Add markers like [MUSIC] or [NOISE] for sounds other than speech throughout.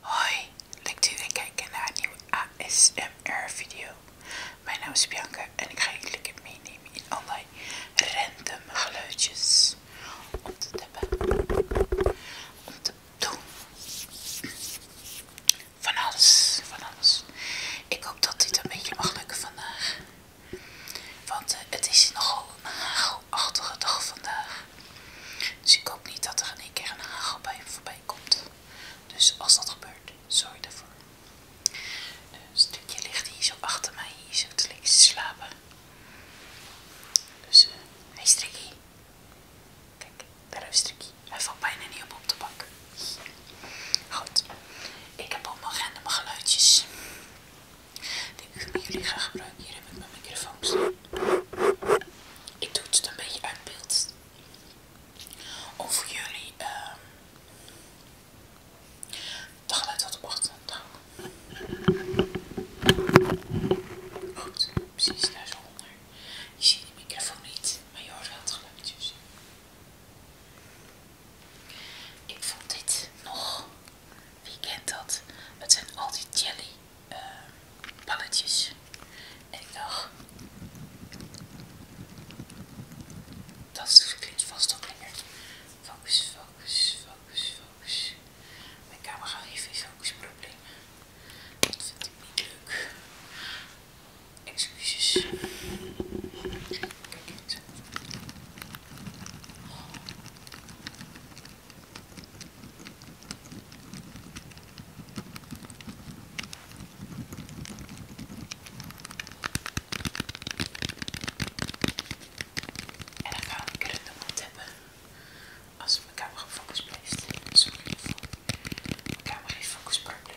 Hoi, leuk dat jullie kijken naar een nieuwe ASMR video. Mijn naam is Bianca en ik ga jullie lekker meenemen in allerlei random geluidjes om te tappen, om te doen. Van alles, van alles. Ik hoop dat dit een beetje mag lukken vandaag. Want eh, het is nogal een hagelachtige dag vandaag. Dus ik hoop niet dat er een keer een hagel bij voorbij komt. Dus als dat gebeurt, sorry daarvoor. Eh, een stukje ligt hier zo achter mij, hier zo te liggen slapen. Dus, hé eh, is hey Kijk, daar is Strikkie. Hij valt bijna niet op op de bak. Goed, ik heb allemaal random geluidjes ik jullie ga gebruiken. Hier heb ik mijn microfoon Ik doe het een beetje uit beeld. voor jullie uh, ehm, het geluid wat ochtend te Goed, precies daar zo onder. Je ziet die microfoon niet, maar je hoort wel het geluidjes. Ik vond dit nog, wie kent dat? Het zijn al die jelly uh, En ik dacht, dat klinkt vast ook lekker. Focus, focus, focus, focus. Mijn camera heeft een Dat vind ik niet leuk. Excuses. Kijk, en dan gaan we een keer in de mond hebben. Als mijn camera gefocust blijft. Sorry voor mijn camera heeft focus problemen.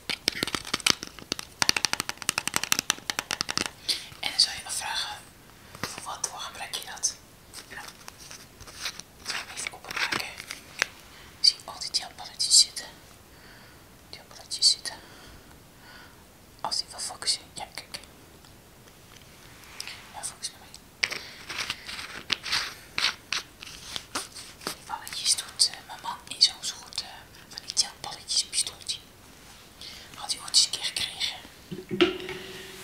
En dan zou je nog vragen, voor wat voor gebruik je dat? Nou, ga hem even openmaken. Ik zie al die gelpalletjes zitten. Gelpalletjes zitten. Als die wil focussen, ja kijk. Ja, focus naar mij. Die balletjes doet eh, mijn man in zo'n soort eh, van die telballetjes pistooltje. Had hij ooit eens een keer gekregen.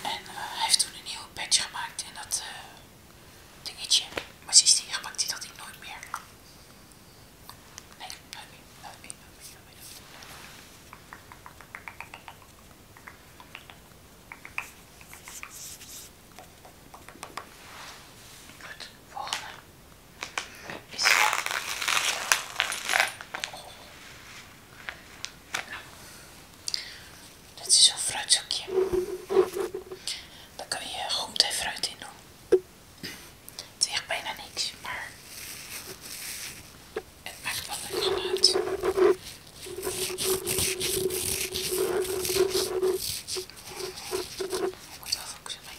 En eh, hij heeft toen een nieuwe patch gemaakt en dat dingetje. Maar sindsdien gebruikt hij dat ik nooit meer. Nee, Goed, volgende is. Nou, dit is zo'n fruitzakje. Daar kan je groente fruit in doen. Het weegt bijna niks, maar het maakt wel lekker geluid. Moet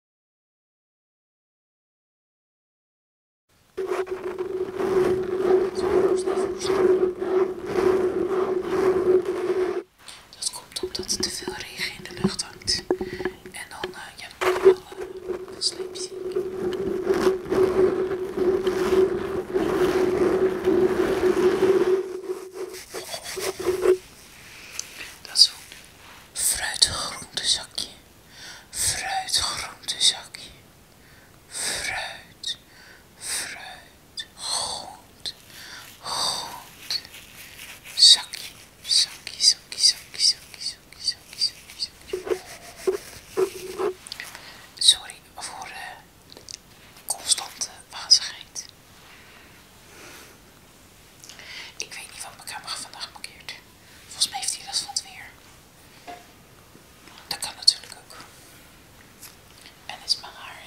Dat komt omdat er te veel regen in de lucht hangt. En dan, uh, je alle eh, sleepjes. Dat is goed fruit groentezakje, fruit groentezakje, fruit, fruit, goed. zakje, zakje, zakje, zakje, zakje, zakje, zakje, zakje, zakje. Sorry voor de eh, constante wazigheid. Ik weet niet wat mijn camera vandaag markeert. Volgens mij heeft hij last van het weer. Dat kan natuurlijk ook. En is mijn haar.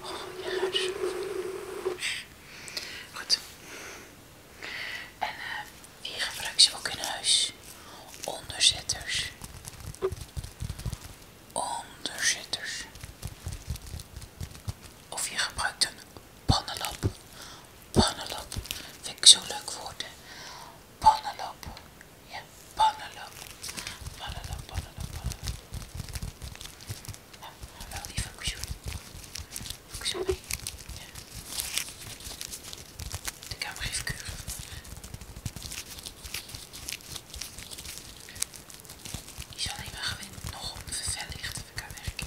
Oh, je ruikt Goed. En uh, eh, hier gebruik ze ook in huis. Onderzetters onderzitters. Of je gebruikt een pannenlap. Pannenlap vind ik zo'n leuk woord. Hè? Pannenlap. Ja, pannenlap. Pannenlap, pannenlap, pannenlap. Nou, wel die functie. Functie mee. Ja. De camera heeft keurig. Is zal ik maar gewoon nog op verlicht even kan werken.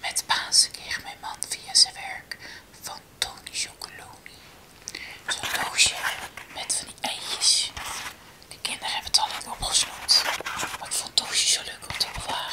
Met Pasen kreeg mijn man via zijn werk van Tony Chocoloni zo'n doosje met van die eitjes. De kinderen hebben het al opgesloten. maar ik vond het doosje zo leuk om te bewaren.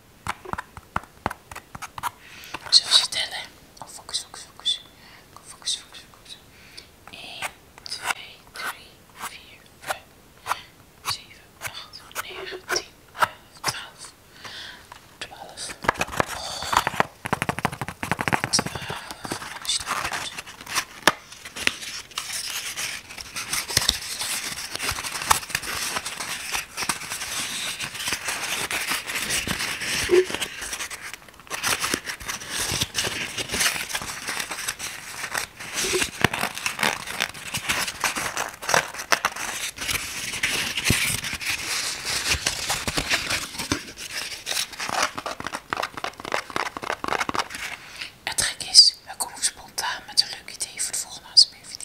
Zullen we ze tellen? focus, focus, focus. focus, focus, focus. 1, 2, 3, 4, 5, 7, 8, 9, 10, 11, 12, 12. Het gek is, we komen spontaan met een leuk idee voor de volgende ASMR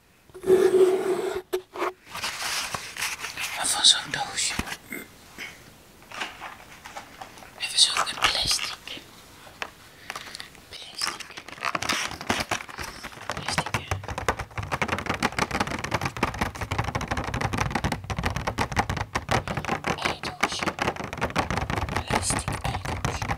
Maar van zo'n doosje. Even zoeken, plastic. Plastic. Plastic. Eidoosje. Plastic eidoosje.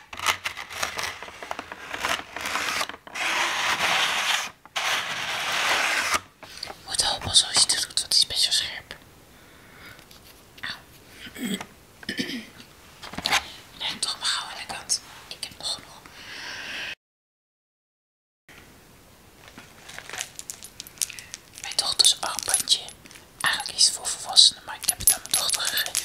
Moet hopen als je het doet, want is best wel scherp. Auw. Leg toch maar gauw aan de kant. Ik heb nog genoeg. Mijn dochters armbandje. Eigenlijk iets voor volwassenen, maar ik heb het aan mijn dochter gegeven.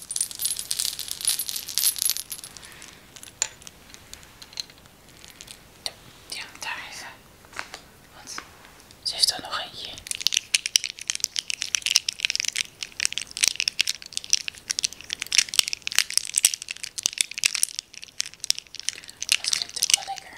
Ja, daar Want ze is er nog eentje. Dat klinkt ook wel lekker.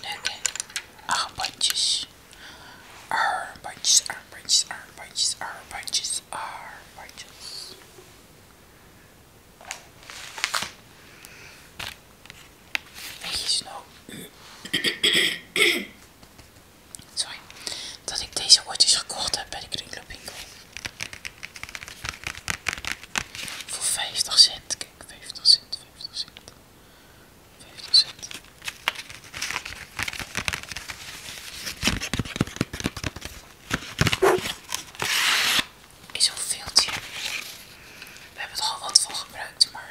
En hè? Armbandjes. Armbandjes, armbandjes, armbandjes, armbandjes, armbandjes. Weet je eens nou. [COUGHS] Sorry. Dat ik deze ooit gekocht heb bij de kringloopwinkel. Voor 50 cent. Kijk, 50 cent, 50 cent. 50 cent. Is We hebben het al wat voor gebruikt, maar.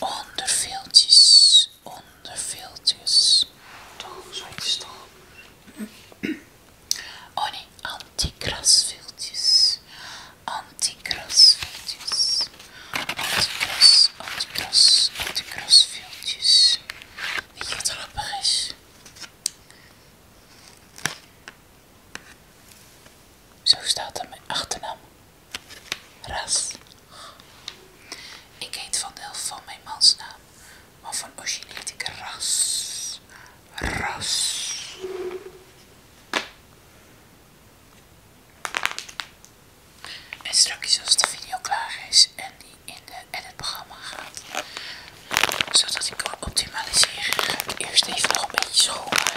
Onderveeltjes, onderveeltjes. Toch, zoiets toch? Oh nee, antikrasveeltjes. Antikrasveeltjes. Antikras, antikras, antikrasveeltjes. Weet je wat er grappig is? Zo staat er mijn achternaam Ras. Ik eet van deel van mijn mansnaam, maar van origine heet ik Ras. Ras. En straks als de video klaar is en die in de editprogramma gaat, zodat ik kan optimaliseren, ga ik eerst even nog een beetje schoonmaken.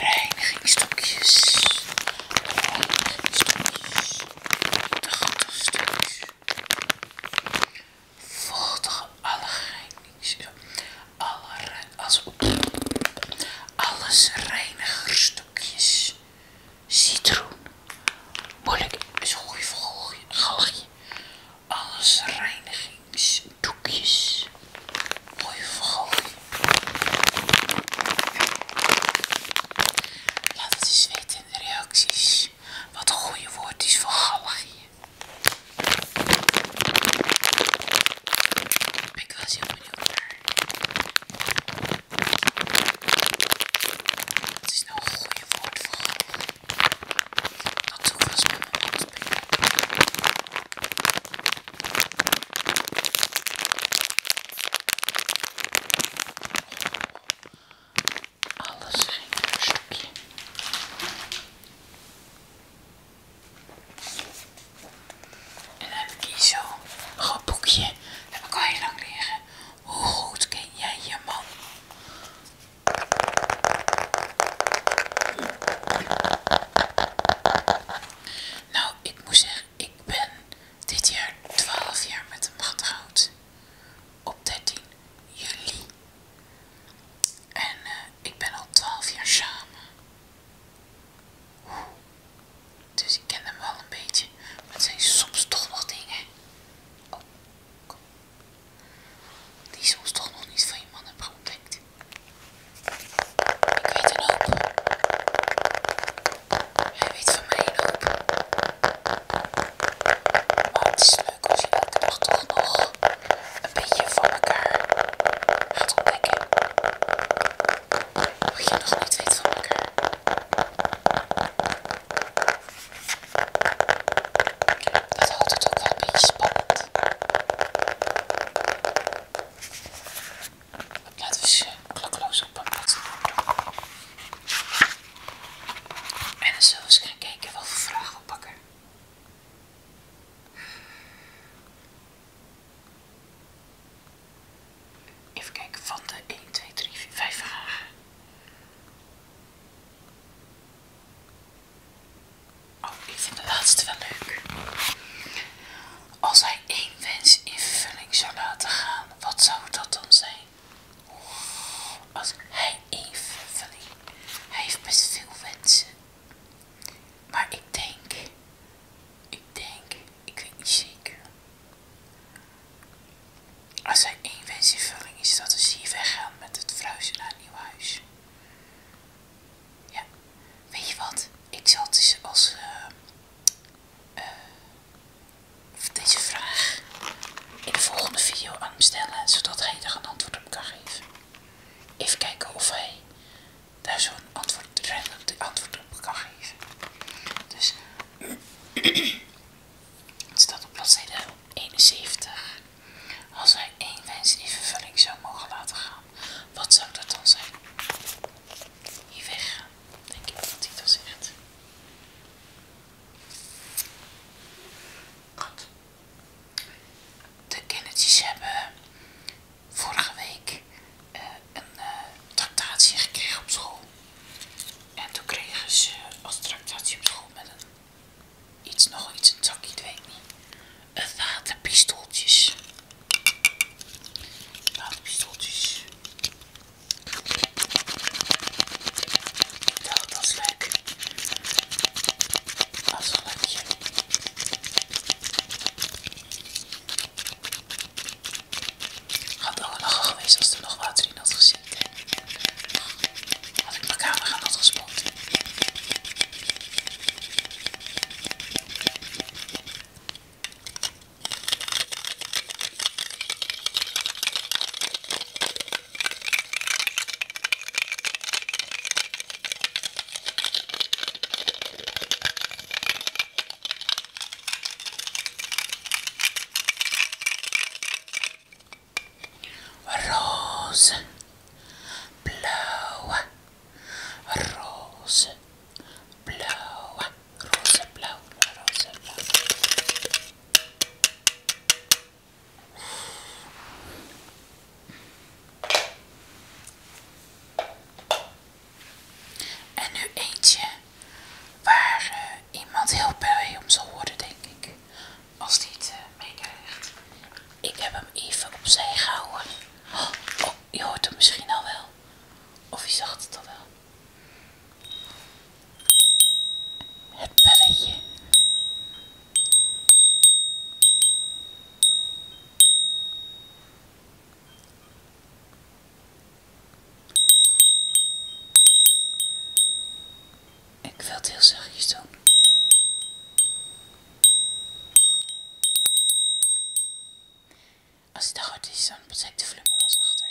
Reinigingstokjes. stukjes, De stukjes, Volg alle reinigings... Alle, als, alles reinigerstukjes citroen. Moeilijk is goeie goede Alles reinigingsdoekjes. Mooie vergooi. Laat het eens weten in de reacties. Wat een goede woord is voor galgje. ik was heel benieuwd naar. Wat is nou een goede woord voor grappig? Dat toch was met mijn mond spelen. Alles ging een stukje. En dan heb ik hier zo'n groot boekje. Dat heb ik al heel lang leren. Hoe goed ken jij je man? Nou, ik moet zeggen, ik ben dit jaar 12 jaar met hem getrouwd. Op 13 juli. En eh, ik ben al 12 jaar samen. Dus ik ken hem wel een beetje. Maar het zijn soms toch nog dingen. Oh, Die soms toch nog niet van je man hebben denkt. Ik weet het hoop. Hij weet van mij een hoop. Maar het is leuk als je elke toch nog een beetje van elkaar gaat ontdekken. Wat je nog niet weet van elkaar. Dat houdt het ook wel een beetje spannend. Laten we ze eh, klokloos op een plaats En dan zullen we eens gaan kijken welke vragen we pakken. Even kijken, van de 1, 2, 3, 4, 5 vragen. Oh, ik vind de laatste wel leuk. Als hij één wens in vulling zou laten gaan, wat zou dat dan zijn? Als hij één vervulling. Hij heeft best veel wensen. Maar ik denk, ik denk, ik weet niet zeker. Als hij één wens is, dat is hier weggaan met het verhuizen naar een nieuw huis. Ja, weet je wat? Ik zal dus als eh, eh, deze vraag in de volgende video aan hem stellen, zodat hij er een antwoord op kan geven. Even kijken of hij daar zo'n antwoord, antwoord op kan geven. Dus. Het staat op bladzijde 71. Als hij één wens in vervulling zou mogen laten gaan, wat zou dat dan zijn? Hier weg, denk ik dat hij dat zegt. Goed. De kindertjes hebben vorige week eh, een eh, tractatie gekregen op school. En toen kregen ze als tractatie op school met een iets, nog iets, een zakje, ik weet niet. Een waterpistooltjes. Waterpistooltjes. Dat was leuk. Dat was wel leuk. Had al lachen geweest als er nog water in had gezet zitten. Had ik mijn camera gespot roze, blauw, roze, blauw, roze, blauw, roze, blauw. En nu eentje waar eh, iemand heel blij om zal worden, denk ik. Als die het eh, meekrijgt. Ik heb hem even opzij gehouden. Oh, je hoort hem misschien al wel. Of je zag het al wel. Het belletje. Ik wil het heel zachtjes doen. Als het goed is, dan betrekt de volume wel zachter.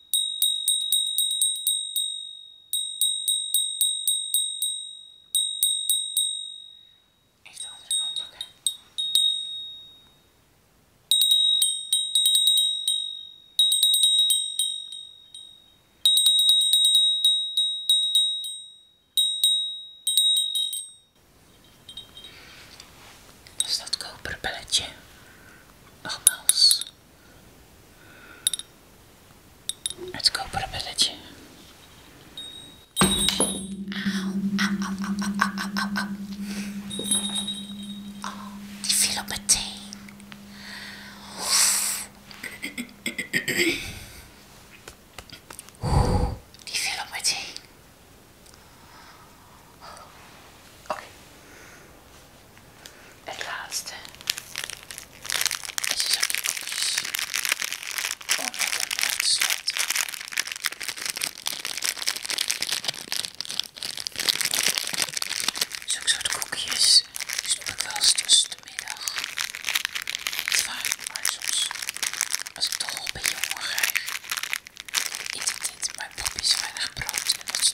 Is de andere kant pakken. Dus belletje, Let's go put a village. Ow, ow, ow, oh, die viel op meteen. Oeh, die viel op meteen. Oké. Okay. Het laatste. Deze zakjes. Om met een uit te sluiten. Zo'n soort koekjes. Die dus ik wel tussen de middag. Niet vaak, maar soms. Als ik toch een beetje honger krijg. Eet ik dit. Maar papa is weinig brood en dat is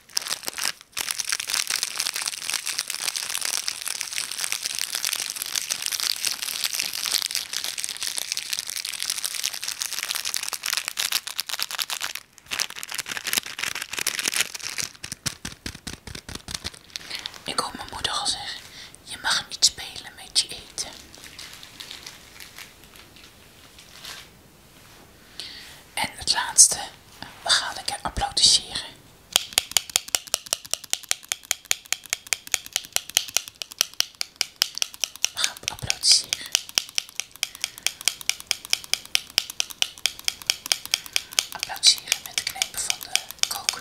Ik hoor mijn moeder al zeggen, je mag niet spelen met je eten. En het laatste, we gaan lekker applaudisseren. We gaan applaudisseren. met de knepen van de kook.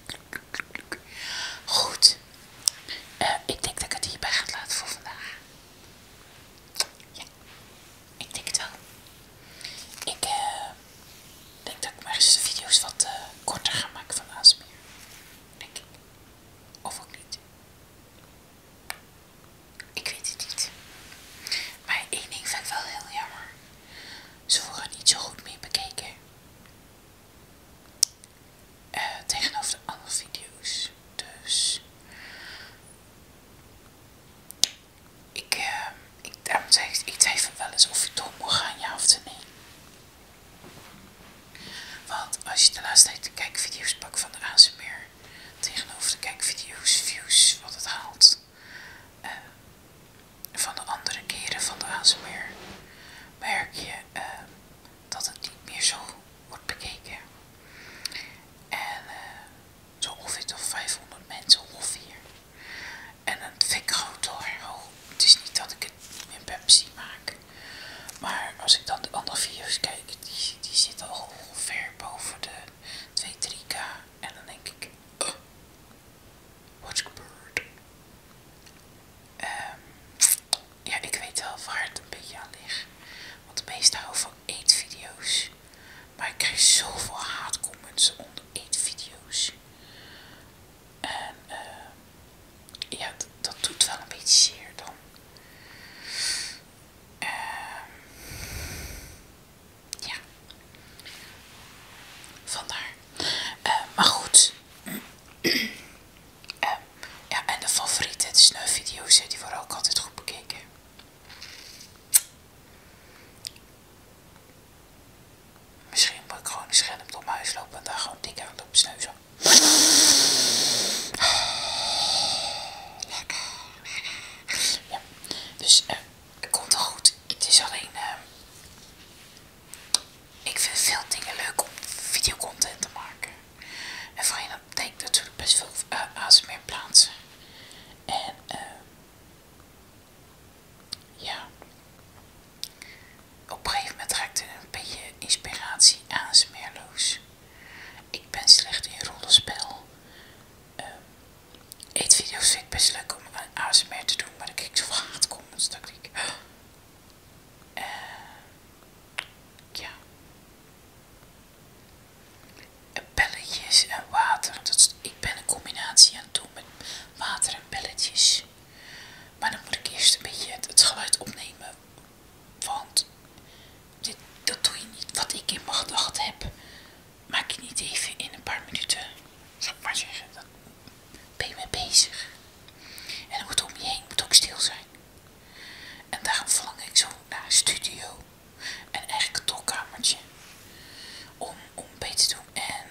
Goed. Eh, ik denk dat ik het hierbij ga laten voor vandaag. Ja, ik denk het wel. Ik eh, denk dat ik maar eens de video's wat eh, korter ga maken van ASMR. Denk ik. Of ook niet. Ik weet het niet. Maar één ding vind ik wel heel jammer. Ze worden niet zo goed mee bekeken. Eh, tegenover de andere video's. Dus ik, uh, ik, ik wel eens of je door moet gaan, ja of nee. Want als je de laatste tijd de kijkvideo's pakt van de ASMR tegenover de kijkvideo's, views, wat het haalt eh, van de andere keren van de ASMR, merk je Ehm, dat het niet meer zo wordt bekeken. En eh, zo ongeveer tot 500 mensen ongeveer. En dat vind ik groot hoor. hoog oh, het is niet dat ik het in Pepsi maak. Maar als ik dan de andere video's kijk, die, die zitten al ongeveer boven de 2-3k. En dan denk ik, What's good? Um, ja, ik weet wel waar het een beetje aan ligt. Want de meesten houden van eetvideo's. Maar ik krijg zoveel haatcomments onder eetvideo's. En eh. ja, dat doet wel een beetje zeer dan. Ehm ja. Vandaar. Ehm, maar goed, Ehm, ja, en de favoriete snufvideo's, die worden ook altijd goed bekeken. Misschien moet ik gewoon een door mijn huis lopen en daar gewoon dik aan op sneuzen. Lekker, lekker. Ja, dus ehm, het komt wel goed. Het is alleen, ehm, ik vind veel dingen leuk om videocontent te maken. En voor je dat betekent natuurlijk best veel eh, ASMR plaatsen. En ehm, ja, op een gegeven moment raakte een beetje inspiratie smerloos. Ik ben slecht in rollenspel. Ehm, eetvideo's vind ik best leuk om ASMR te doen, maar ik kijk zo haatcomments dat ik uh, ja. Belletjes en water. Dat ik ben een combinatie aan het doen met water en belletjes. Maar dan moet ik eerst een beetje het, geluid opnemen. Want dit, dat doe je niet. Wat ik in mijn gedachten heb, maak je niet even in een paar minuten. Zal ik maar zeggen ben je mee bezig. En het moet om je heen, moet ook stil zijn. En daarom verlang ik zo naar een studio en eigenlijk een tolkamertje om, om te doen. En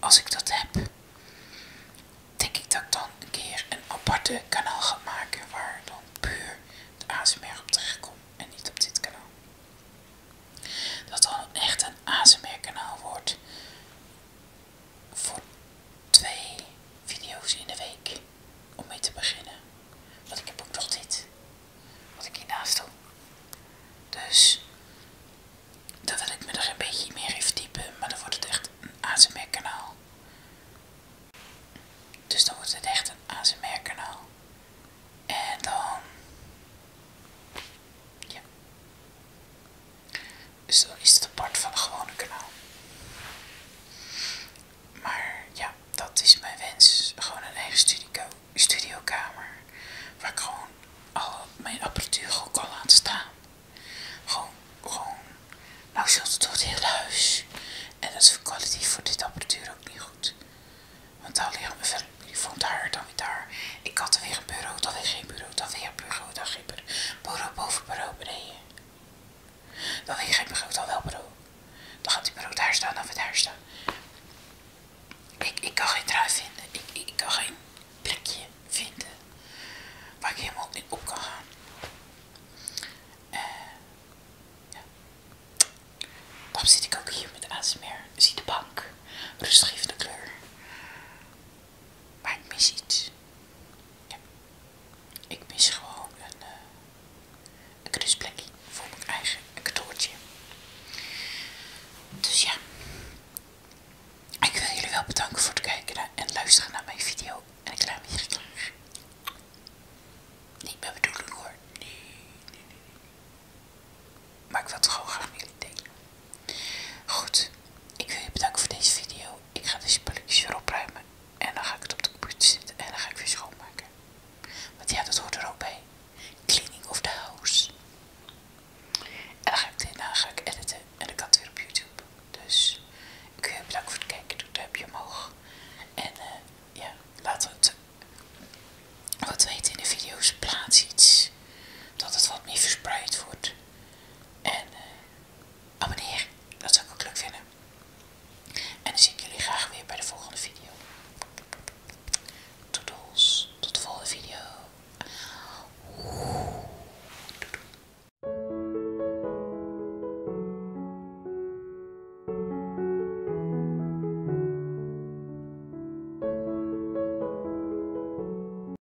als ik dat heb, denk ik dat ik dan een keer een aparte kanaal ga maken waar dan puur de ASMR op terecht en niet op dit kanaal. Dat dan echt een ASMR kanaal wordt voor twee video's in de week om mee te beginnen. Want ik heb ook nog dit, wat ik hiernaast doe. Dus dat wil ik me nog een beetje meer in verdiepen, maar dan wordt het echt een ASMR kanaal. Dus dan wordt het echt een ASMR kanaal. En dan... Ja. Dus dan is het apart van een gewone kanaal. Maar ja, dat is mijn wens. Gewoon een eigen studio, studiokamer. Waar ik gewoon al mijn apparatuur ook kan laten staan. Gewoon, gewoon. Nou zult het door het hele huis. En dat is voor kwalitatief voor dit apparatuur ook niet goed. Want daar liggen mijn telefoon daar, dan weer daar. Ik had er weer een bureau, dan weer geen bureau, dan weer een bureau, dan schipper. Boro boven bureau beneden. Dan weet geen het al wel bureau. Dan gaat die bureau daar staan of het daar staan. Ik, ik kan geen trui vinden. Ik, ik, kan geen plekje vinden waar ik helemaal in op kan gaan. Uh, eh, Dan zit ik ook hier met ASMR. Zie de bank. Rustig even de kleur. Maar ik mis iets. Ik mis gewoon een, uh, voor mijn eigen cadeautje. Dus ja. Ik wil jullie wel bedanken voor het kijken en luisteren naar mijn video. En ik laat me hier klaar. Niet mijn bedoeling hoor. Nee, nee, nee. Maar ik wil toch gewoon graag met jullie delen. Goed, ik wil je bedanken voor deze video. Ik ga deze spulletjes weer opruimen. En dan ga ik het op de computer zetten en dan ga ik weer schoonmaken. Want ja, dat hoort er ook bij. Cleaning of the house. En dan ga ik dan ga ik editen en dan kan het weer op YouTube. Dus ik wil je bedanken voor het kijken. Doe een duimpje omhoog. En eh, ja, laten we het wat weten in de video's. Plaats iets. Dat het wat meer verspreid wordt. En abonneer, eh, oh, dat zou ik ook leuk vinden. En dan zie ik jullie graag weer bij de volgende video. Toedels, tot de volgende video.